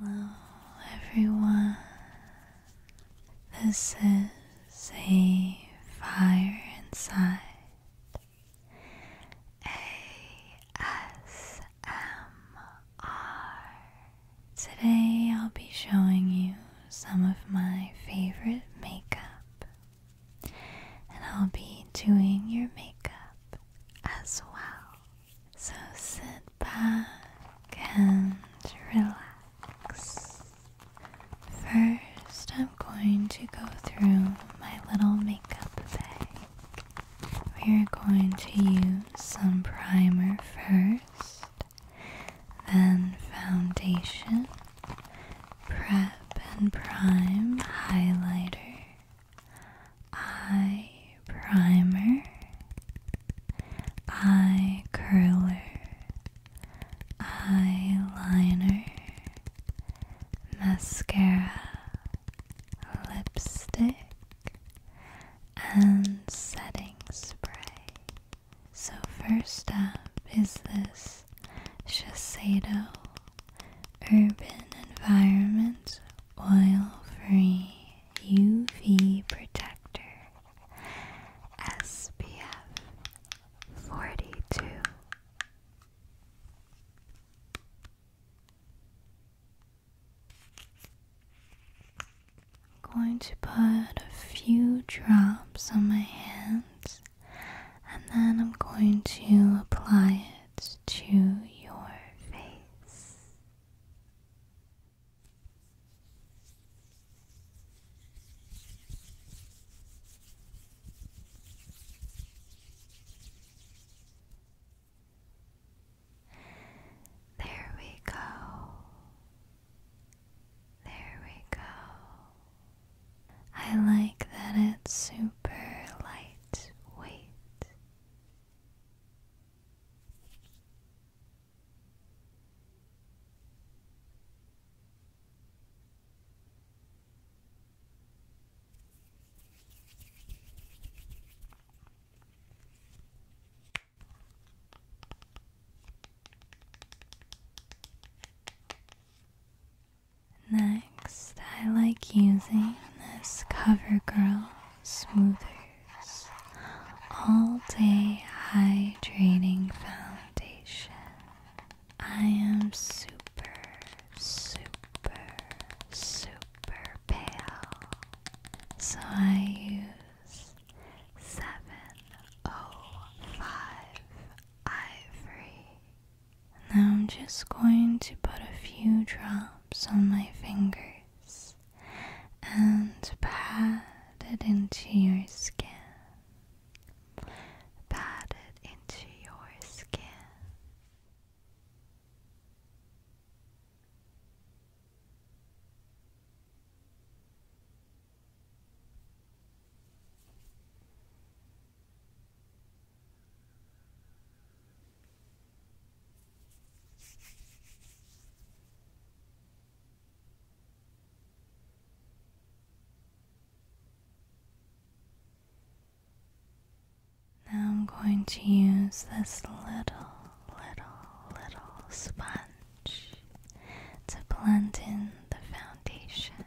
Hello, everyone. This is a fire inside ASMR. Today, I'll be showing you some of my favorite makeup, and I'll be doing your makeup as well. So sit back and relax. First, I'm going to go through my little makeup bag. We're going to use some primer first, then foundation, prep and prime highlighter, eye primer, eye curler, eyeliner, mascara, lipstick, and setting spray. So, first up is this Shiseido Urban Environment Oil Free UV Protector SPF 42. I'm going to put a few drops on my hands and then I'm going to apply it to your face. There we go. There we go. I like that it's super lightweight. Next, I like using this CoverGirl Smoothers All Day Hydrating Foundation. I am super, super, super pale, so I use 705 Ivory now I'm just going to put a few drops on my fingers and pat it into your skin. Pat it into your skin. Now I'm going to use this little, little, little sponge to blend in the foundation.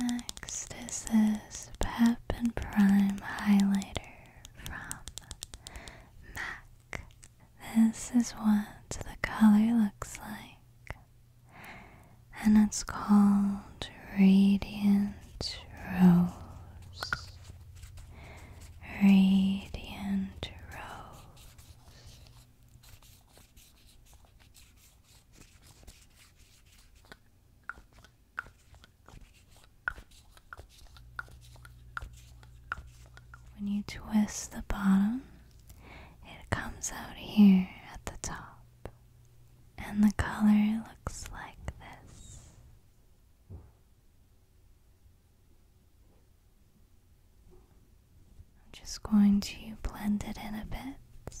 Next is this Pep Prime highlighter from MAC. This is what the color looks like and it's called Radiant Rose. Radiant Rose. When you twist the bottom, it comes out here at the top and the color looks like this. I'm just going to blend it in a bit,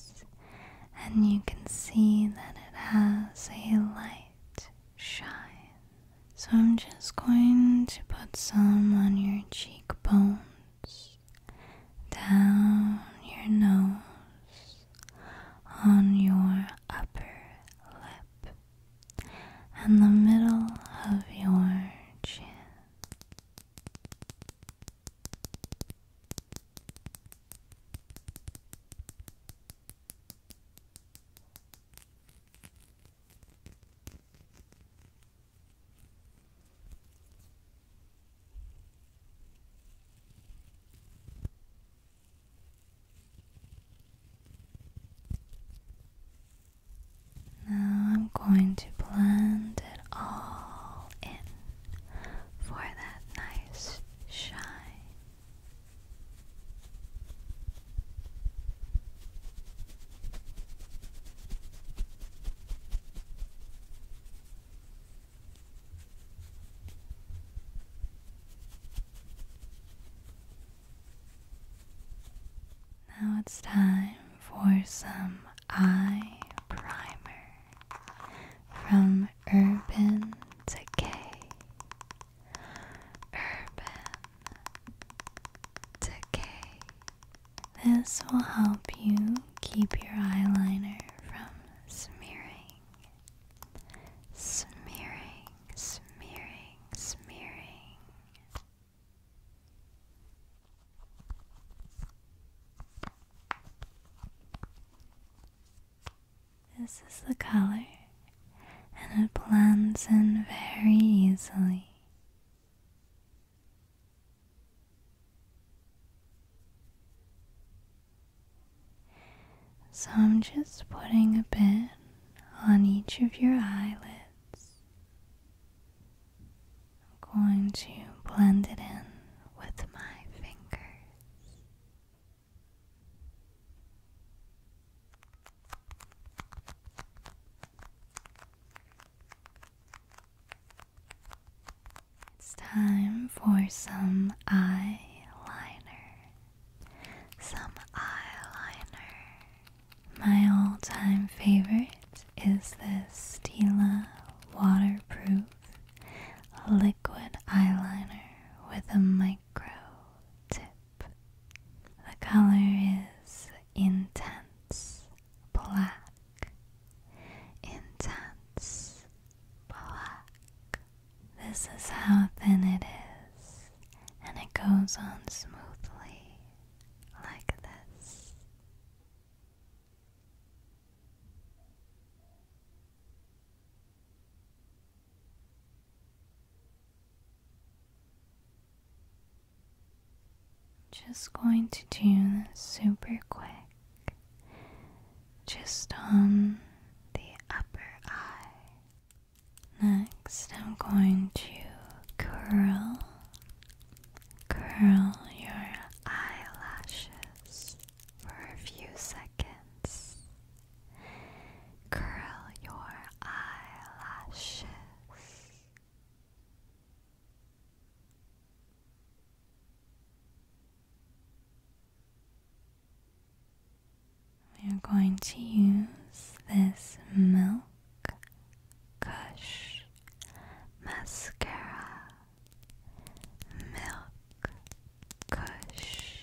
and you can see that it has a light shine. So I'm just going to put some on your cheekbone down your nose, on your upper lip, and the middle of your chin. Now I'm going to blend it all in for that nice shine. Now it's time for some eye primer from Urban Decay. Urban Decay. This will help you keep your eyeliner from smearing, smearing, smearing, smearing. This is the color, and it blends in very easily. So I'm just putting a bit on each of your eyelids. I'm going to blend it in with my fingers. It's time for some eyeliner. Some eyeliner. My all time favorite is this Stila waterproof liquid eyeliner with a micro tip. The color is intense black. Intense black. This is how thin it is, and it goes on smoothly like this. Just going to do this super quick, just on the upper eye. Next, I'm going to curl, curl your eyelashes for a few seconds. Curl your eyelashes. We are going to use this milk Kush mascara, milk Kush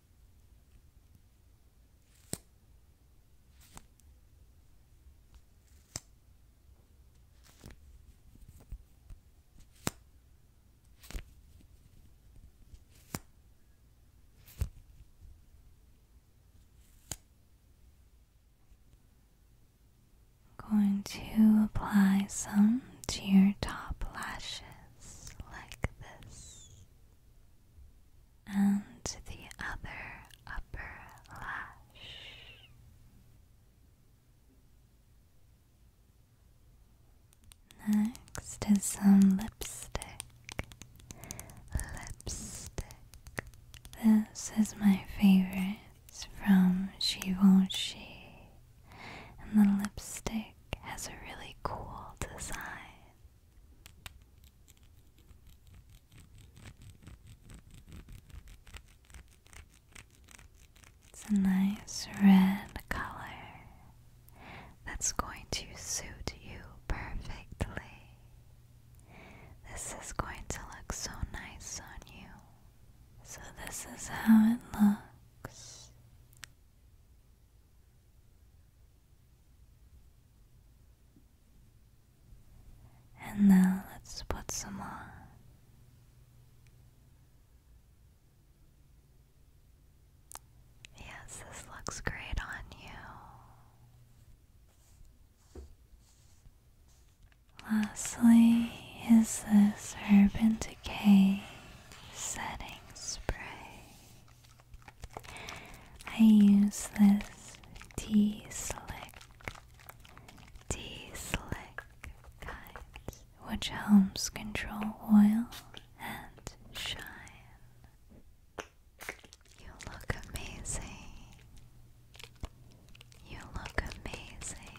I'm going to apply some to your top lashes like this and the other upper lash. Next is some lipstick. Lipstick. This is my favorite it's from Givenchy, and the lipstick has a really cool design. It's a nice red color that's going to suit you perfectly. This is going to look so nice on you. So, this is how it looks. And now let's put some on. Yes, this looks great on you. Lastly, is this Urban Decay setting spray? I use this T slick, T slick which helps control oil and shine. You look amazing. You look amazing.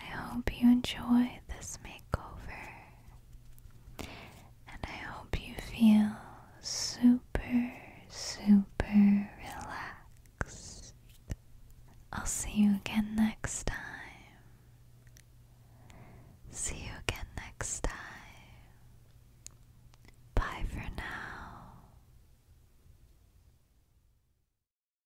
I hope you enjoy this makeover, and I hope you feel super, super relaxed. I'll see you again next time. See you again next time. Bye for now.